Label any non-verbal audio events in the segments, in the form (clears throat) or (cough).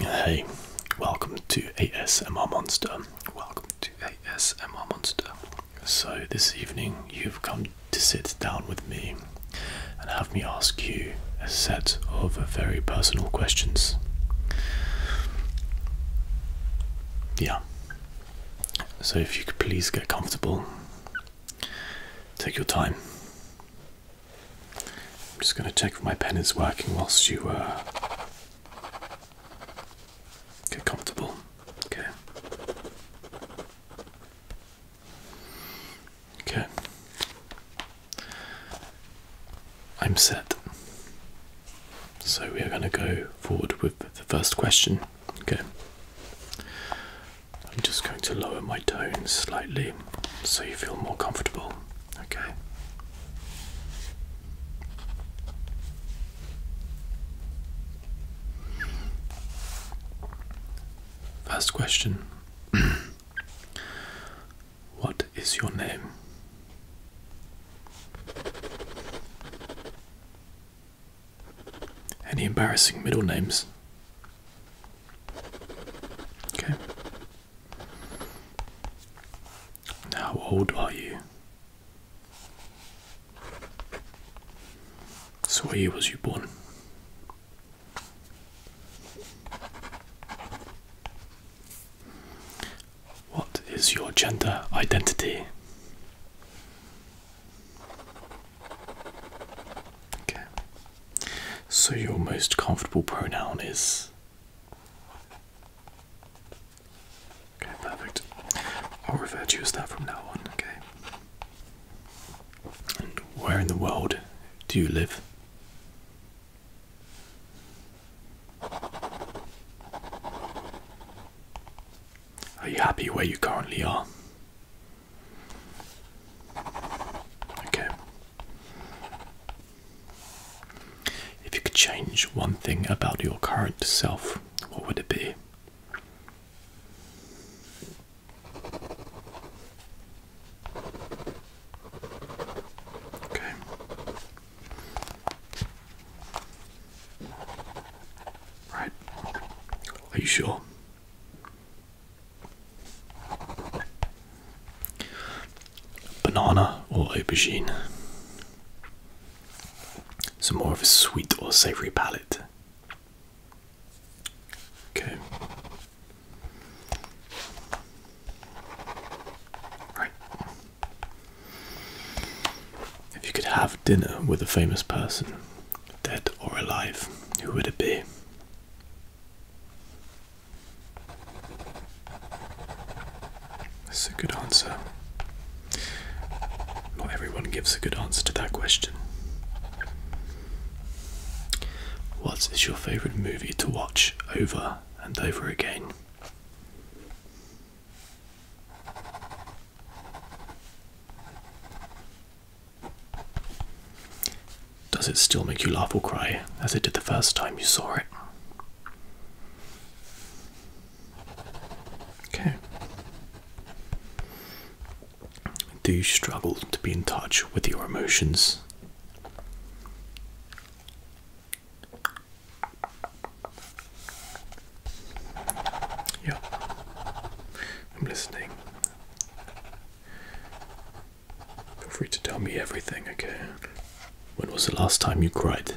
Hey, welcome to ASMR Monster. Welcome to ASMR Monster. So, this evening you've come to sit down with me and have me ask you a set of very personal questions. Yeah. So, if you could please get comfortable Take your time. I'm just going to check if my pen is working whilst you uh, get comfortable. Okay. Okay. I'm set. So we are going to go forward with the first question. Okay. I'm just going to lower my tone slightly so you feel more comfortable. Okay. First question (clears throat) What is your name? Any embarrassing middle names? Okay. How old are you? So, where year was you born? What is your gender identity? Okay. So your most comfortable pronoun is. Okay, perfect. I'll refer to you as that from now on, okay? And where in the world do you live? Are you happy where you currently are? Okay. If you could change one thing about your current self, what would it be? Okay. Right? Are you sure? Banana or aubergine? So more of a sweet or savory palate. Okay. Right. If you could have dinner with a famous person, dead or alive, who would it be? That's a good answer. Not everyone gives a good answer to that question. What is your favourite movie to watch over and over again? Does it still make you laugh or cry as it did the first time you saw it? Okay. Do you struggle to be in touch with your emotions? Yeah, I'm listening. Feel free to tell me everything, okay? When was the last time you cried?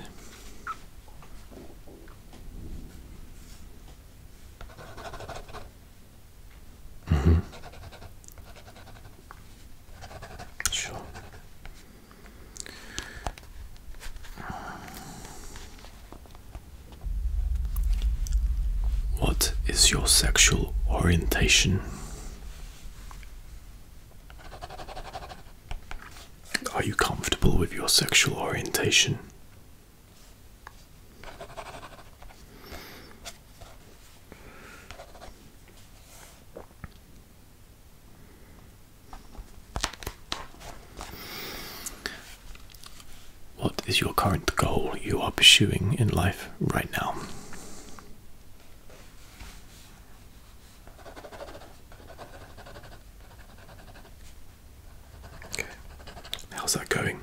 Mm -hmm. Sure. What is your sexual orientation? Are you comfortable with your sexual orientation? What is your current goal you are pursuing in life right now? how's that going?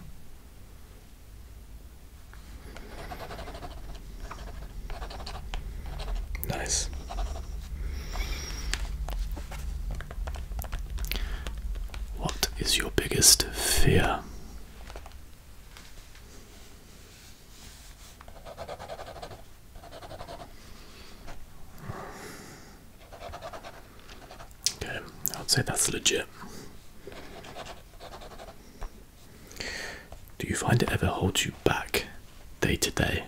Nice. What is your biggest fear? Okay, I would say that's legit. Do you find it ever holds you back day to day.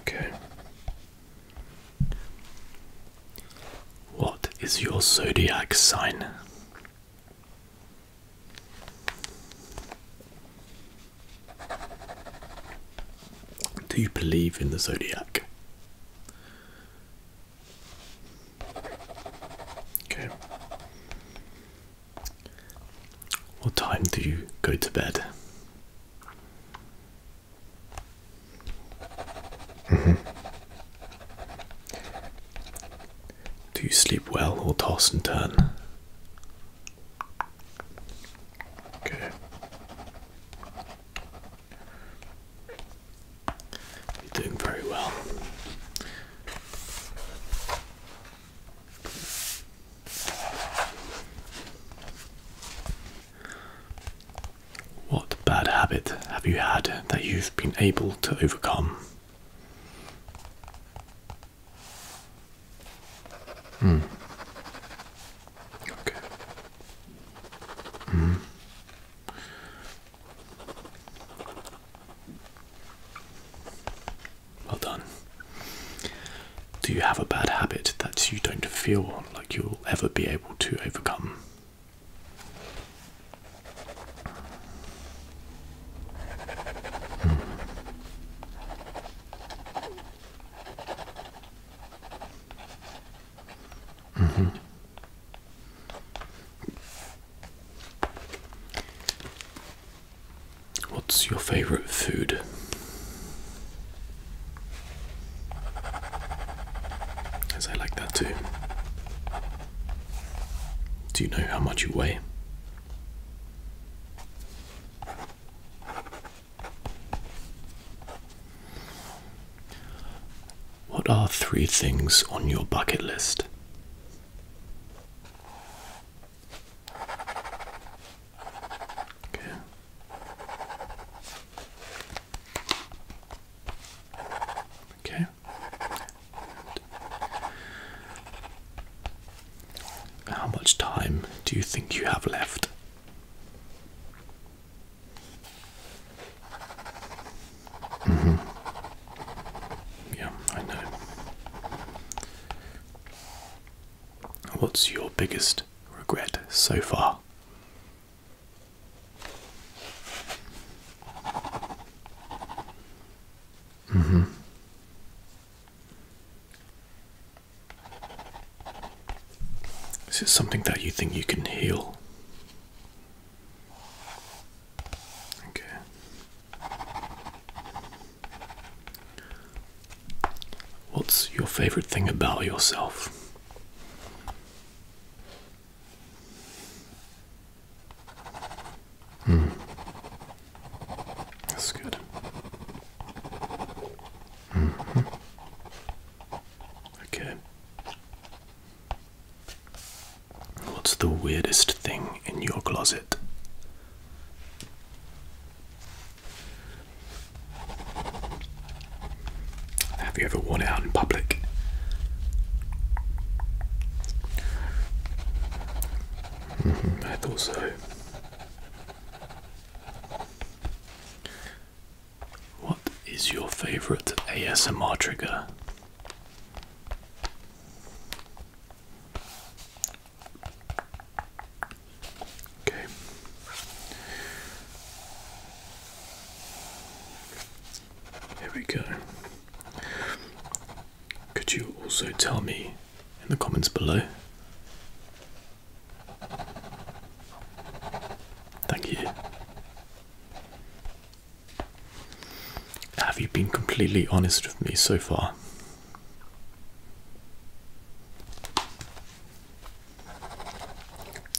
Okay. What is your zodiac sign? Do you believe in the zodiac? Okay. What time do you go to bed? Mm-hmm. Do you sleep well or toss and turn? Okay. You're doing very well. What bad habit have you had that you've been able to overcome? Hmm. Okay. Mm. Well done. Do you have a bad habit that you don't feel like you'll ever be able to overcome? Mm. Mm-hmm. What's your favorite food? As I like that too. Do you know how much you weigh? What are three things on your bucket list? Okay. Okay. How much time do you think you have left? Mm-hmm. Yeah, I know. What's your biggest regret so far? Mm-hmm. Is it something that you think you can heal? Okay. What's your favorite thing about yourself? Hmm. That's good. Mm-hmm. Okay. What's the weirdest thing in your closet? Have you ever worn it out in public? Mm-hmm. I thought so. What is your favorite ASMR trigger? Okay. Here we go. Could you also tell me in the comments below? Thank you. Have you been completely honest with me so far?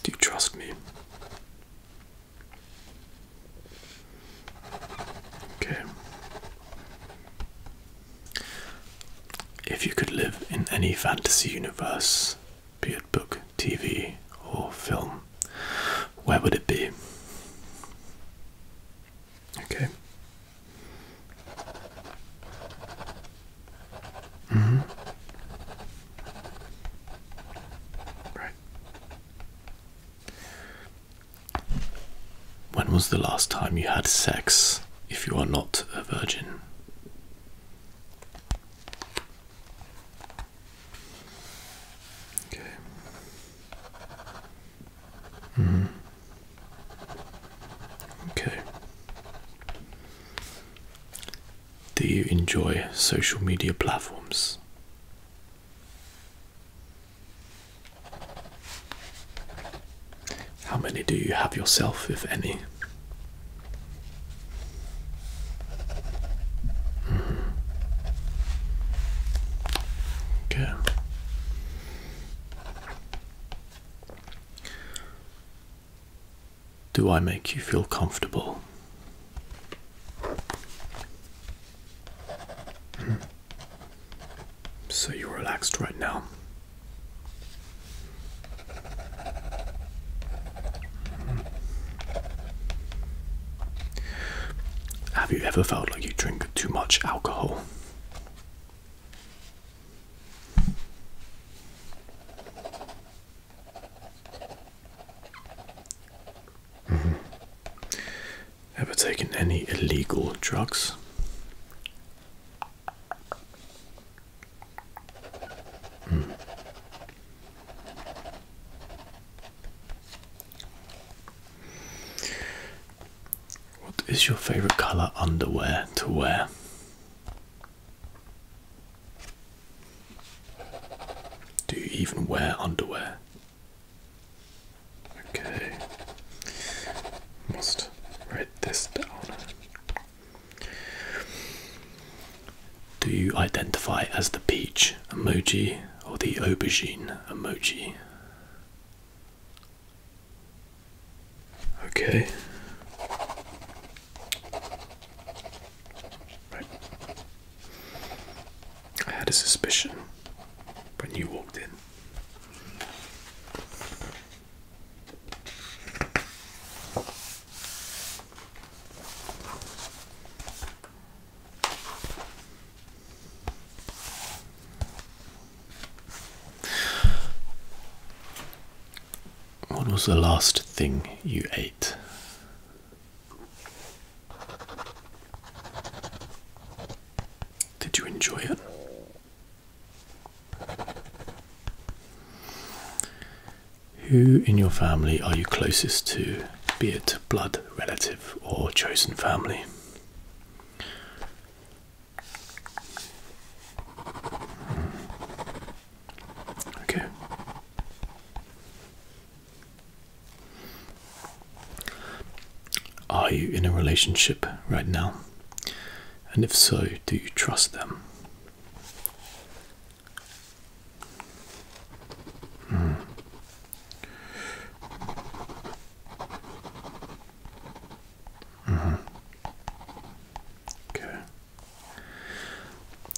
Do you trust me? Okay. If you could live in any fantasy universe, be it book, TV, or film, where would it be? Okay. Mm-hmm. Right. When was the last time you had sex if you are not a virgin? Okay. Mm. Okay. Do you enjoy social media platforms? How many do you have yourself, if any? Mm Do I make you feel comfortable? (clears throat) So you're relaxed right now. Mm-hmm. Have you ever felt like you drink too much alcohol? Mm-hmm. Ever taken any illegal drugs? Hmm. What is your favorite color underwear to wear? Do you even wear underwear? Okay. Must write this down. Do you identify as the peach emoji or the aubergine emoji? Okay. Right. I had a suspicion when you walked in. What was the last thing you ate? Did you enjoy it? Who in your family are you closest to, be it blood relative or chosen family? Hmm. Okay. Are you in a relationship right now? And if so, do you trust them? Mm. Mm -hmm. Okay.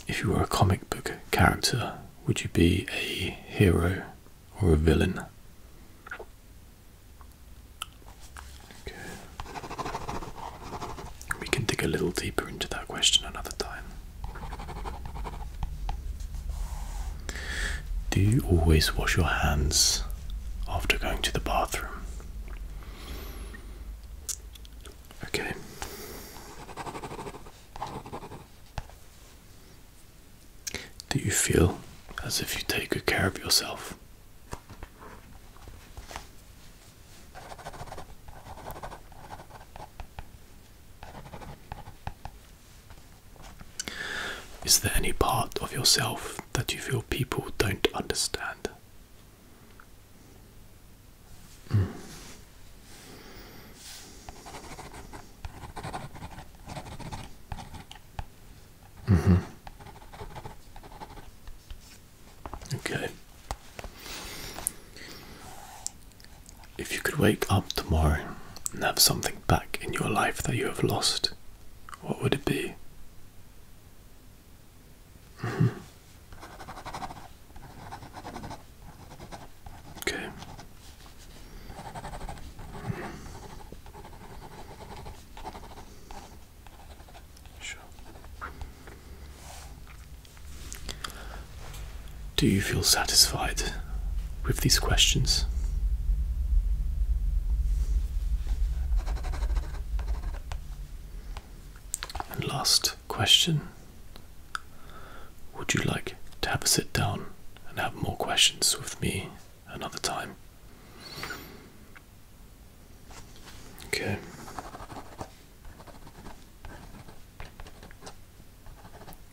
If you were a comic book character, would you be a hero or a villain? We can dig a little deeper into that question another time. Do you always wash your hands after going to the bathroom? Okay. Do you feel as if you take good care of yourself? Is there any part of yourself that you feel people don't understand? Mm. Mm Okay. If you could wake up tomorrow and have something back in your life that you have lost, what would it be? Mm-hmm. Okay. Sure. Do you feel satisfied with these questions? And last question Would you like to have a sit down and have more questions with me another time? Okay.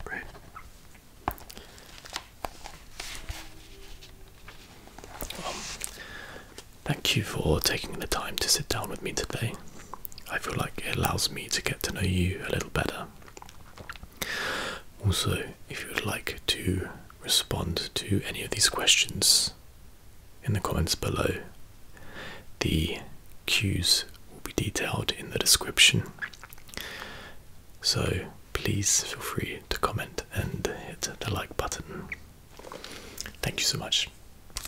Great. thank you for taking the time to sit down with me today. I feel like it allows me to get to know you a little better. Also, if you would like to respond to any of these questions in the comments below, the cues will be detailed in the description. So please feel free to comment and hit the like button. Thank you so much.